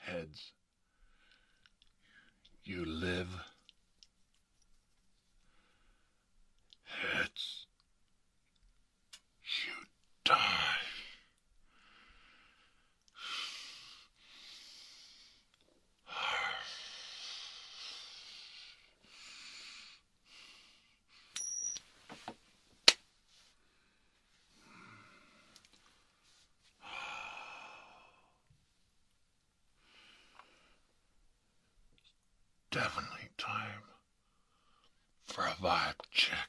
heads. You live. Heads. You die. Definitely time for a vibe check.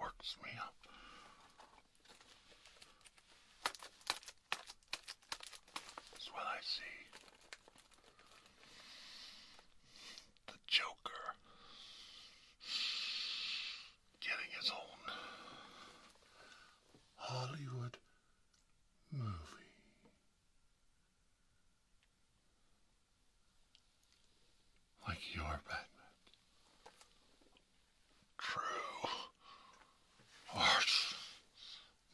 works me up. That's what I see. The Joker getting his own Hollywood movie. Like your Batman. True arch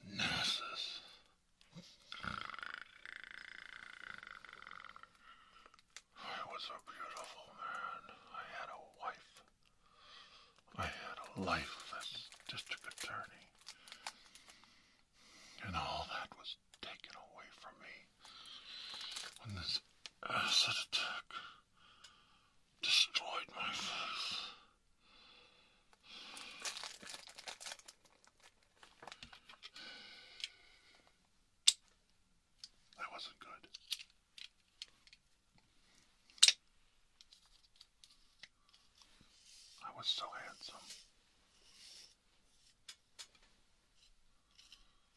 nemesis. I was a beautiful man. I had a wife. I had a life as district attorney. And all that was taken away from me when this acid uh, attack destroyed my face. That wasn't good. I was so handsome.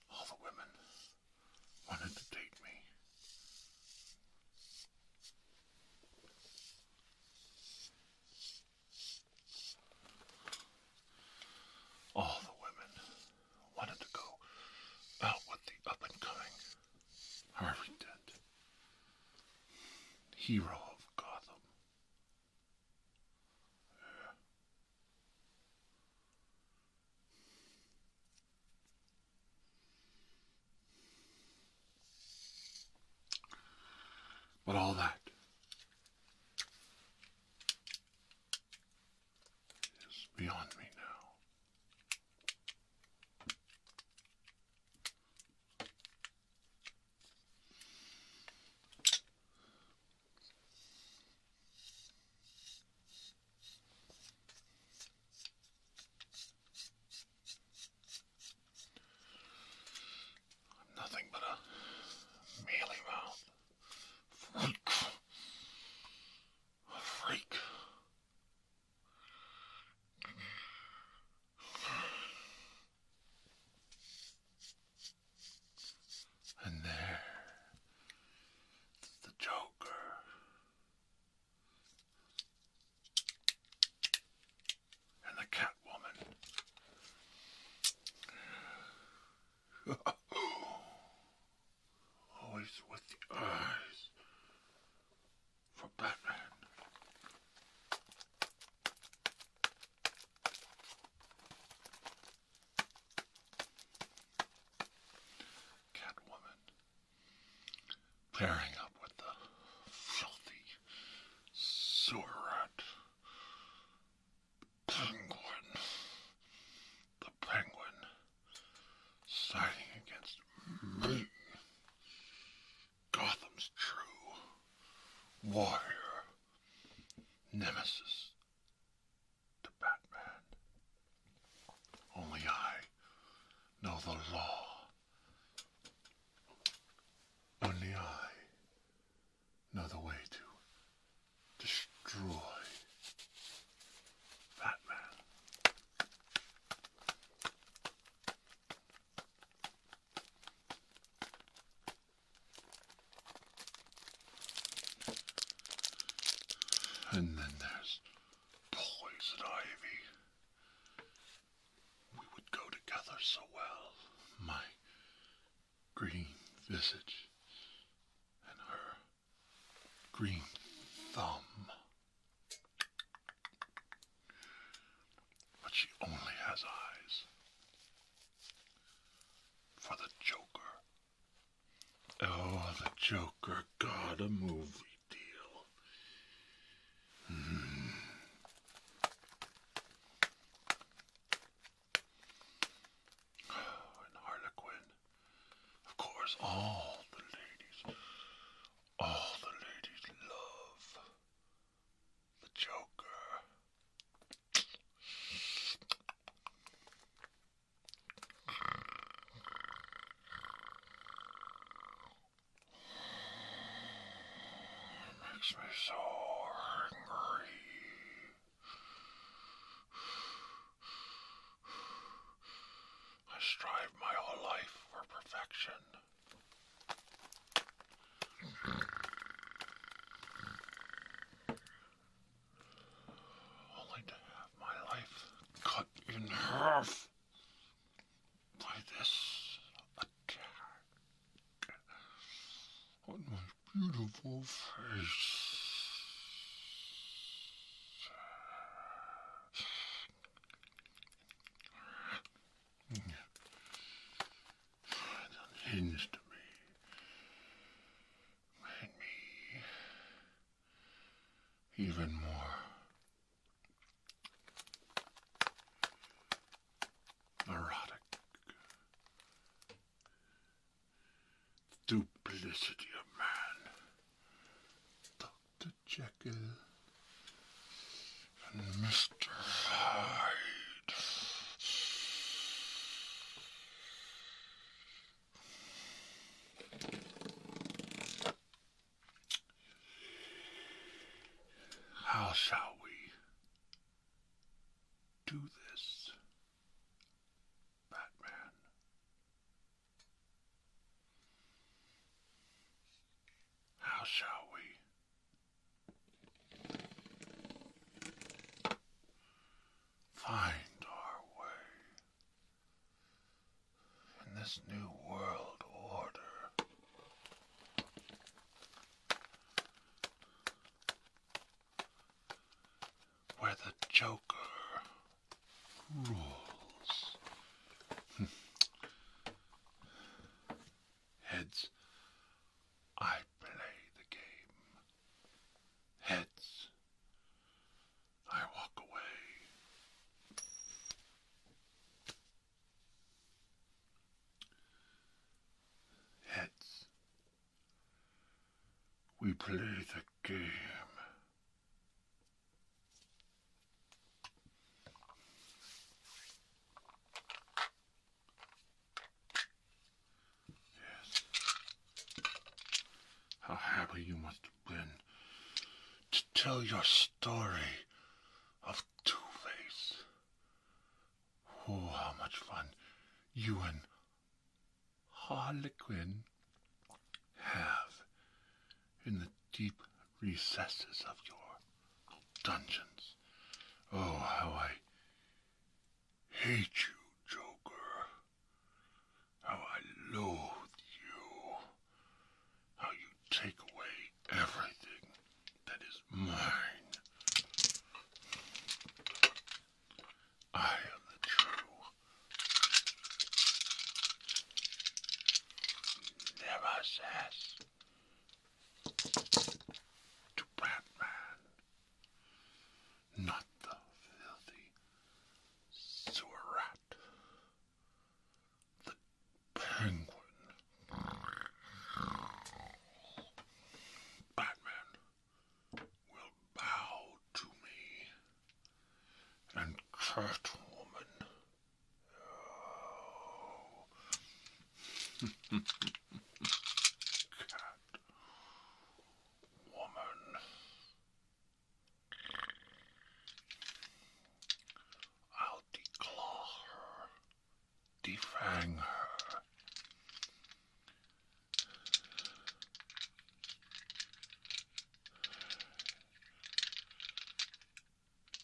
All the women wanted to date me. All the women wanted to go out with the up and coming Harvey Dent, hero of Gotham. But all that is beyond me now nothing but a mealy mouth freak. And there, the Joker. And the Catwoman. Always with the eyes for Batman. Catwoman pairing up with the filthy sewer rat penguin. The penguin siding against me. Gotham's true warrior, nemesis, to Batman. Only I know the law. Only I know the way to destroy Batman. And then there's poison ivy. We would go together so well. My green visage and her green thumb. But she only has eyes for the Joker Oh, the Joker got a movie deal. Hmm. Oh, and Of course, all the ladies, all the ladies love the Joker. It makes me so angry. I strive my whole life for perfection only to have my life cut in half by this attack on my beautiful face. It unhinged me made me even more neurotic. Duplicity of man. Dr. Jekyll and Mr. Hyde. How shall we do this, Batman? How shall we find our way? in this new world order. Where the Joker rules. Heads, I play the game. Heads, I walk away. Heads. We play the game. Yes. How happy you must have been to tell your story of Two-Face. Oh, how much fun you and Harlequin have in the deep recesses of your dungeons. Oh, how I hate you, Joker. How I loathe you. How you take away everything that is mine. I am the true nemesis to Batman, not the filthy sewer rat, the penguin, Batman will bow to me, and Catwoman. Oh. Cat woman I'll declaw her, defang her.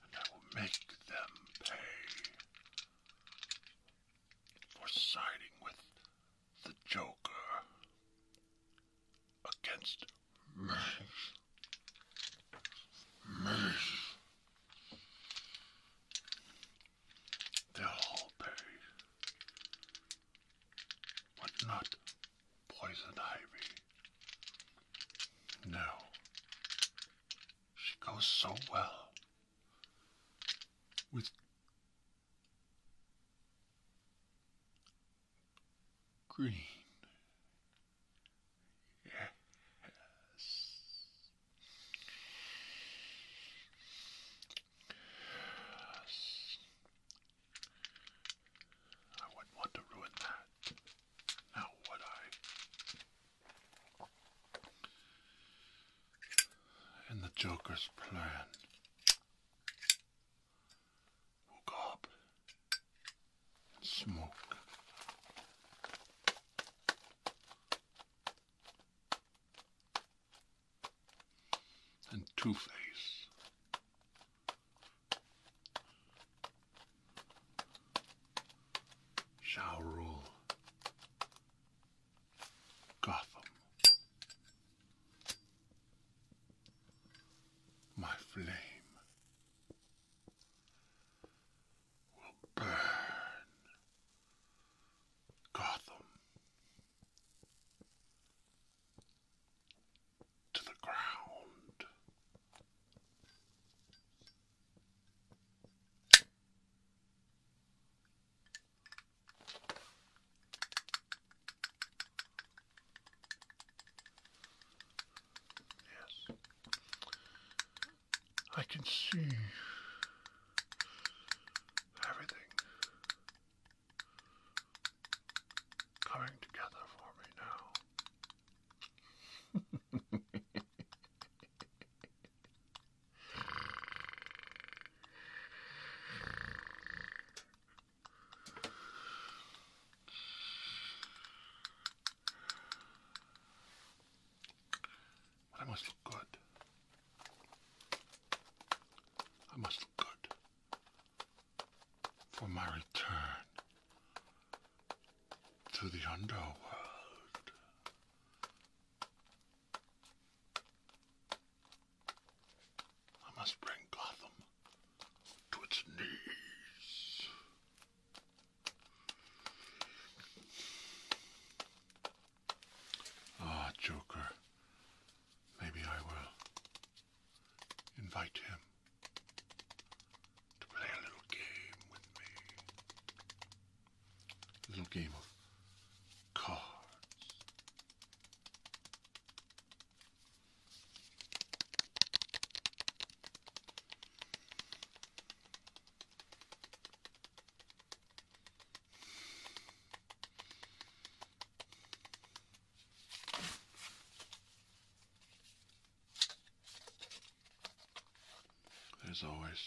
And I will make them pay for siding with the Joker against me. Me. They'll all pay, but not Poison Ivy. No, she goes so well with green. Yes. yes. I wouldn't want to ruin that. Now would I? And the Joker's plan hook up, smoke. And Two Face. Shall rule Gotham. My flame will burn Gotham to the ground. Yes. I can see everything coming together for me now. I must look good. I must look good for my return to the underworld. I must bring Gotham to its knees. Ah, Joker. Maybe I will invite him to play a little game with me. A little game of cards. There's always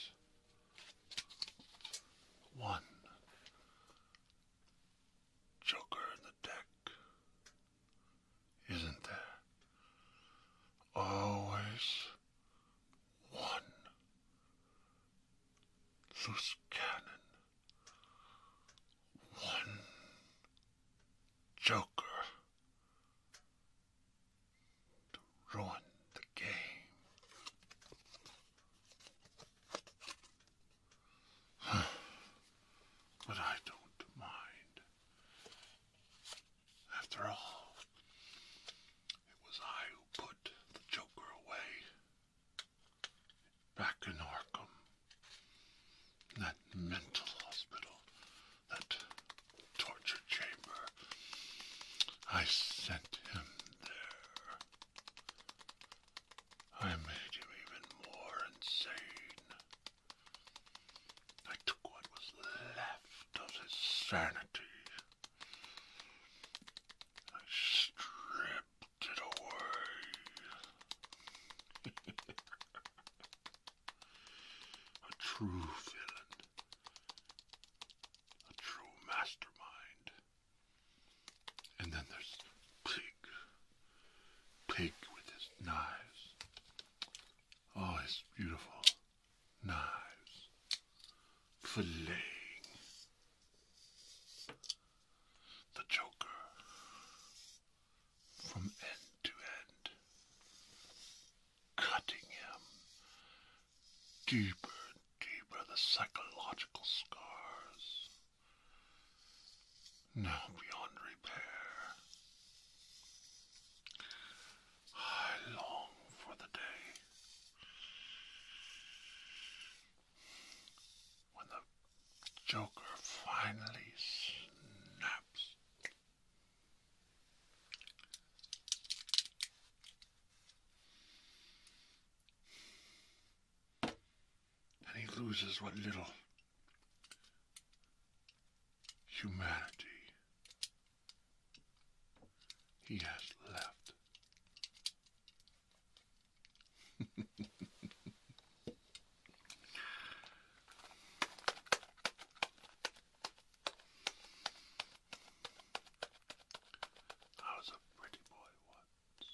one joker in the deck isn't there? Always one loose cannon, one joker to ruin the game. but I don't mind. After all, it was I who put the Joker away back in Arkham. That mental hospital, that torture chamber. I sent him there. I made him even more insane. I took what was left of his sanity. I stripped it away. A true villain. A true mastermind. And then there's Pig pig with his knives. Oh, his beautiful knives. Filleting the Joker from end to end, cutting him deeper and deeper, the psychological scars now beyond repair. I long for the day when the Joker finally snaps and he loses what little humanity he has left. I was a pretty boy once.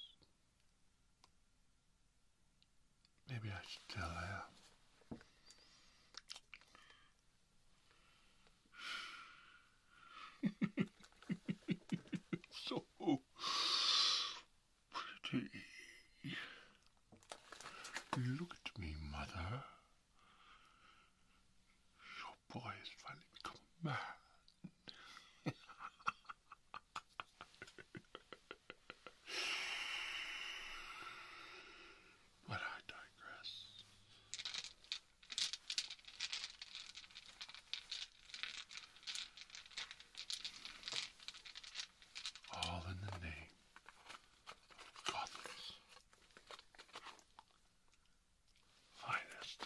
Maybe I still am. so pretty. Look at me, mother. Your boy is finally become a man. but I digress. All in the name of Gotham's finest.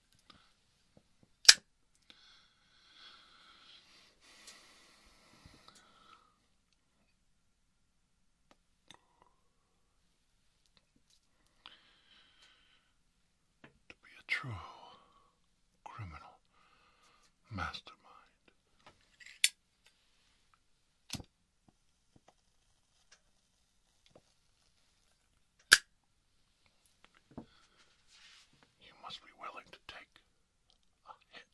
To be a true criminal mastermind. You must be willing to take a hit.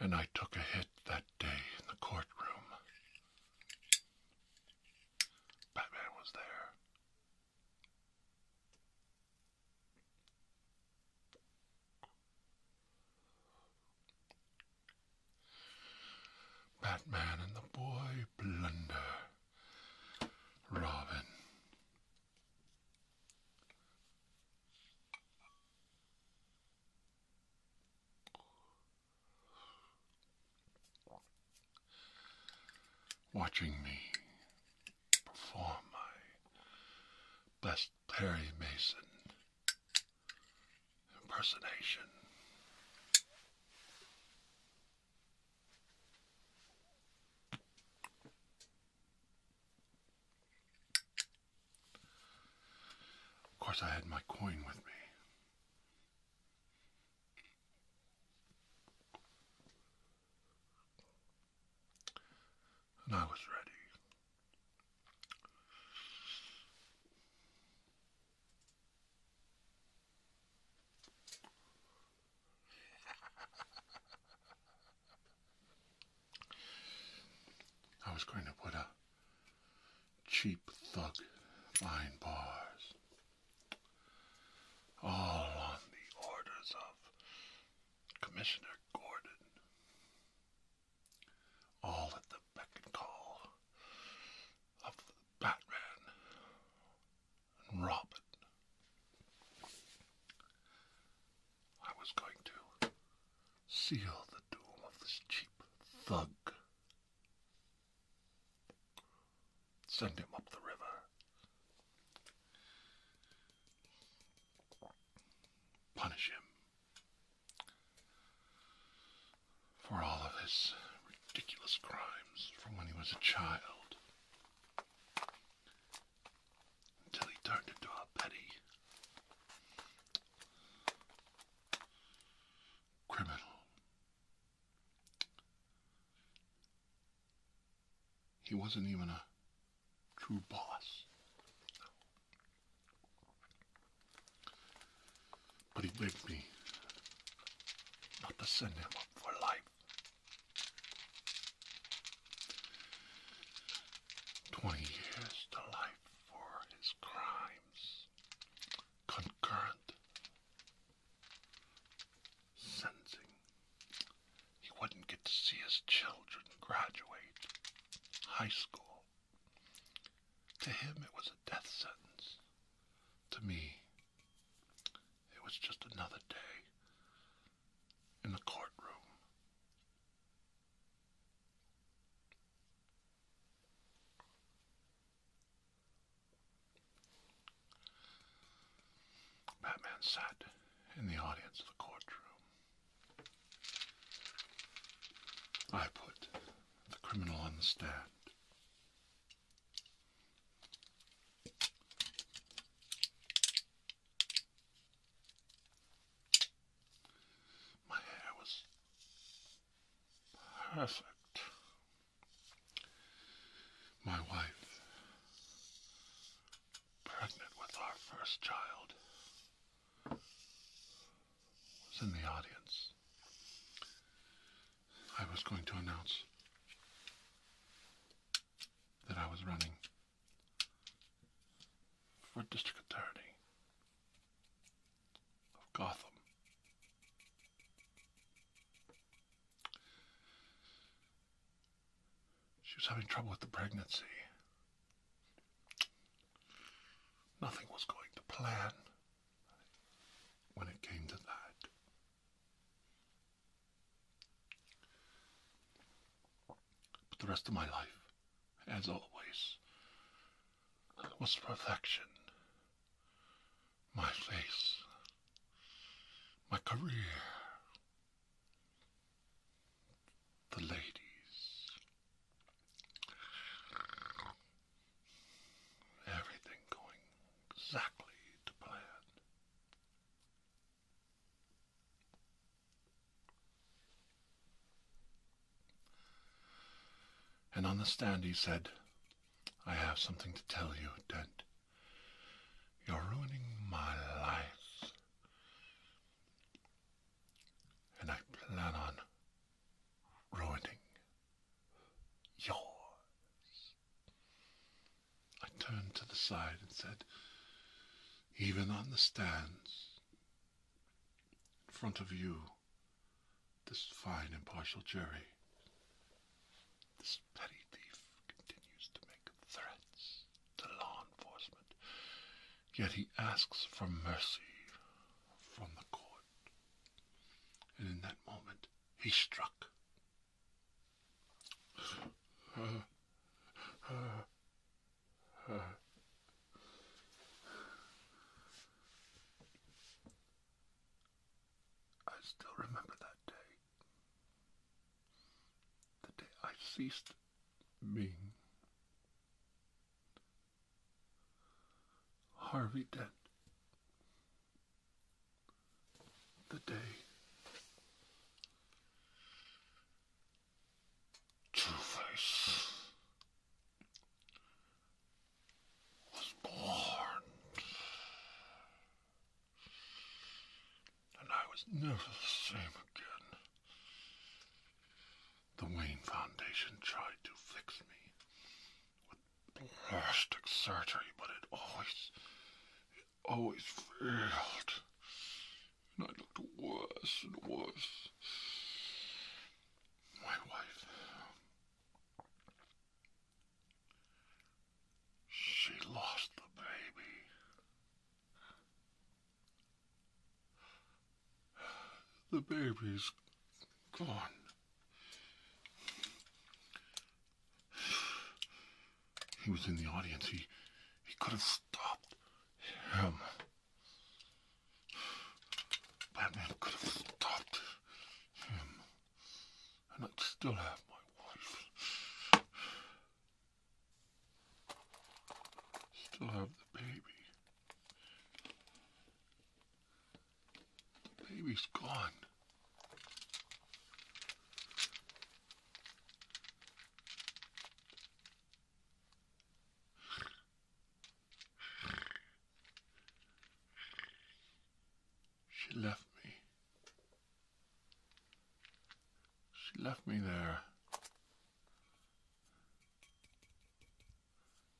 And I took a hit that day in the courtroom. Batman was there. Batman and the boy Blunder. Robin. Watching me perform my best Perry Mason impersonation. Of course, I had my coin with me. And I was ready. I was going to put a cheap thug line bars all on the orders of Commissioner Gordon all at the beck and call of Batman and Robin. I was going to seal the doom of this cheap thug, send him up the river, punish him for all of his ridiculous crimes from when he was a child until he turned into a petty criminal. He wasn't even a true boss. But he begged me not to send him up for life. Twenty years to life for his crimes. Concurrent sentencing. He wouldn't get to see his children graduate high school. To him, it was a death sentence. To me, it was just another day in the courtroom. Batman sat in the audience of the courtroom. I put the criminal understand. My hair was perfect. My wife, pregnant with our first child, was in the audience. I was going to announce that I was running for District Attorney of Gotham. She was having trouble with the pregnancy. Nothing was going to plan when it came to that. But the rest of my life, as always, was perfection. My face, my career, the ladies, Everything going exactly to plan. And on the stand he said, I have something to tell you, Dent. You're ruining my life. And I plan on ruining yours. I turned to the side and said, even on the stands, in front of you, this fine impartial jury, this petty thief continues to make threats to law enforcement, yet he asks for mercy from the court. And in that moment, he struck. I still remember that day. The day I ceased being. Harvey Dent. The day True was born, and I was never the same again. The Wayne Foundation tried to fix me with plastic surgery, but it always, it always failed. And I looked worse and worse. My wife, she lost the baby. The baby's gone. He was in the audience. He, he could have stopped him. Batman could have stopped him. And i still have my wife. Still have the baby. The baby's gone. She left me. She left me there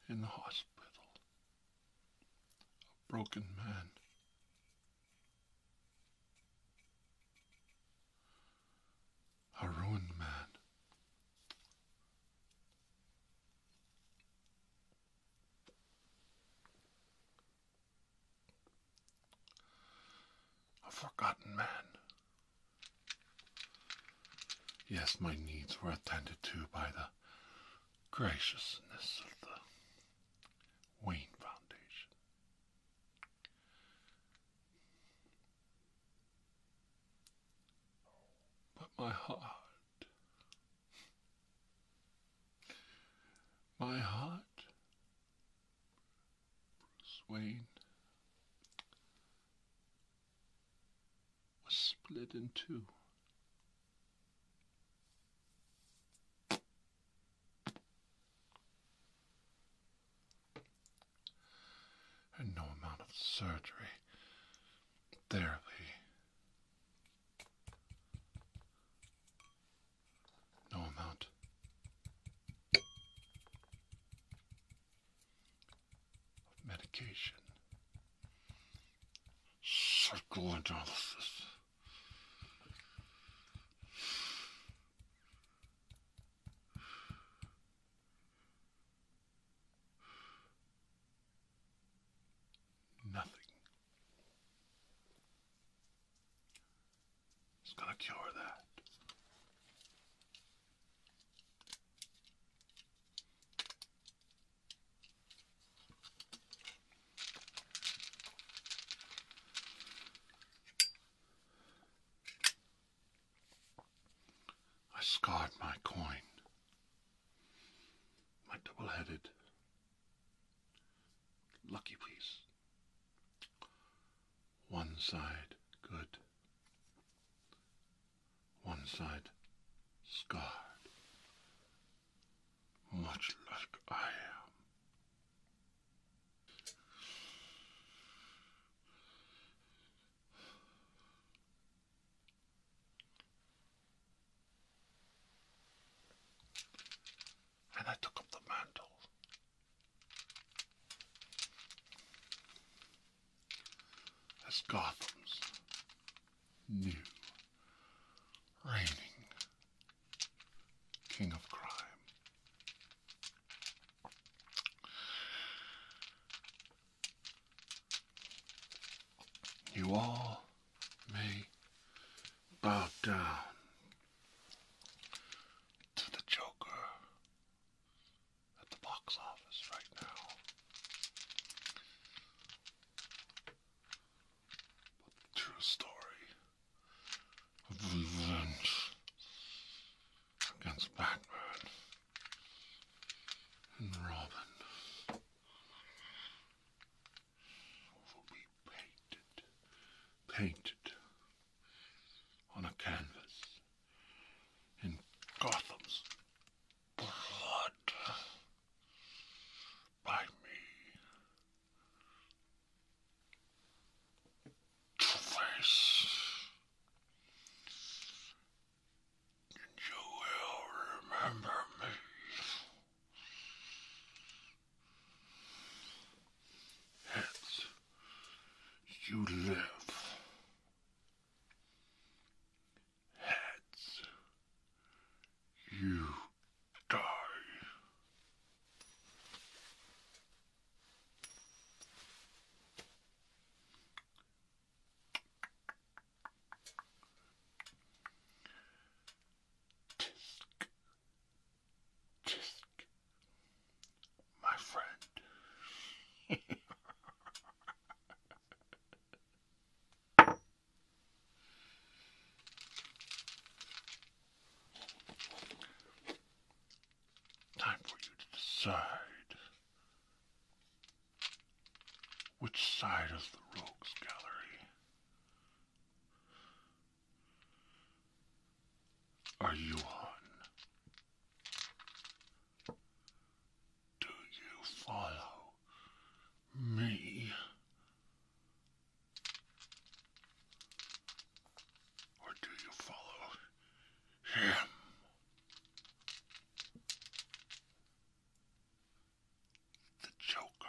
in the hospital, a broken man. A ruined man. A forgotten man. Yes, my needs were attended to by the graciousness of the Wayne Foundation. But my heart, my heart, Bruce Wayne, was split in two. And no amount of surgery, barely. No amount of medication Psychoanalysis. Nothing is going to cure that. I scarred my coin, my double headed lucky piece. One side good, one side scarred much like I am. And I took up the mantle. As Gotham's new, reigning king of crime. You all may bow down to the Joker at the box office right now the true story of revenge against Blackbird and Robin. Will be painted, painted on a canvas in Gotham's blood by me to And you will remember me. Hence, you live heads, you die. Tisk, tisk, my friend. Time for you to decide which side of the Rogues Gallery are you on? Do you follow me? Or do you follow him? The Joker.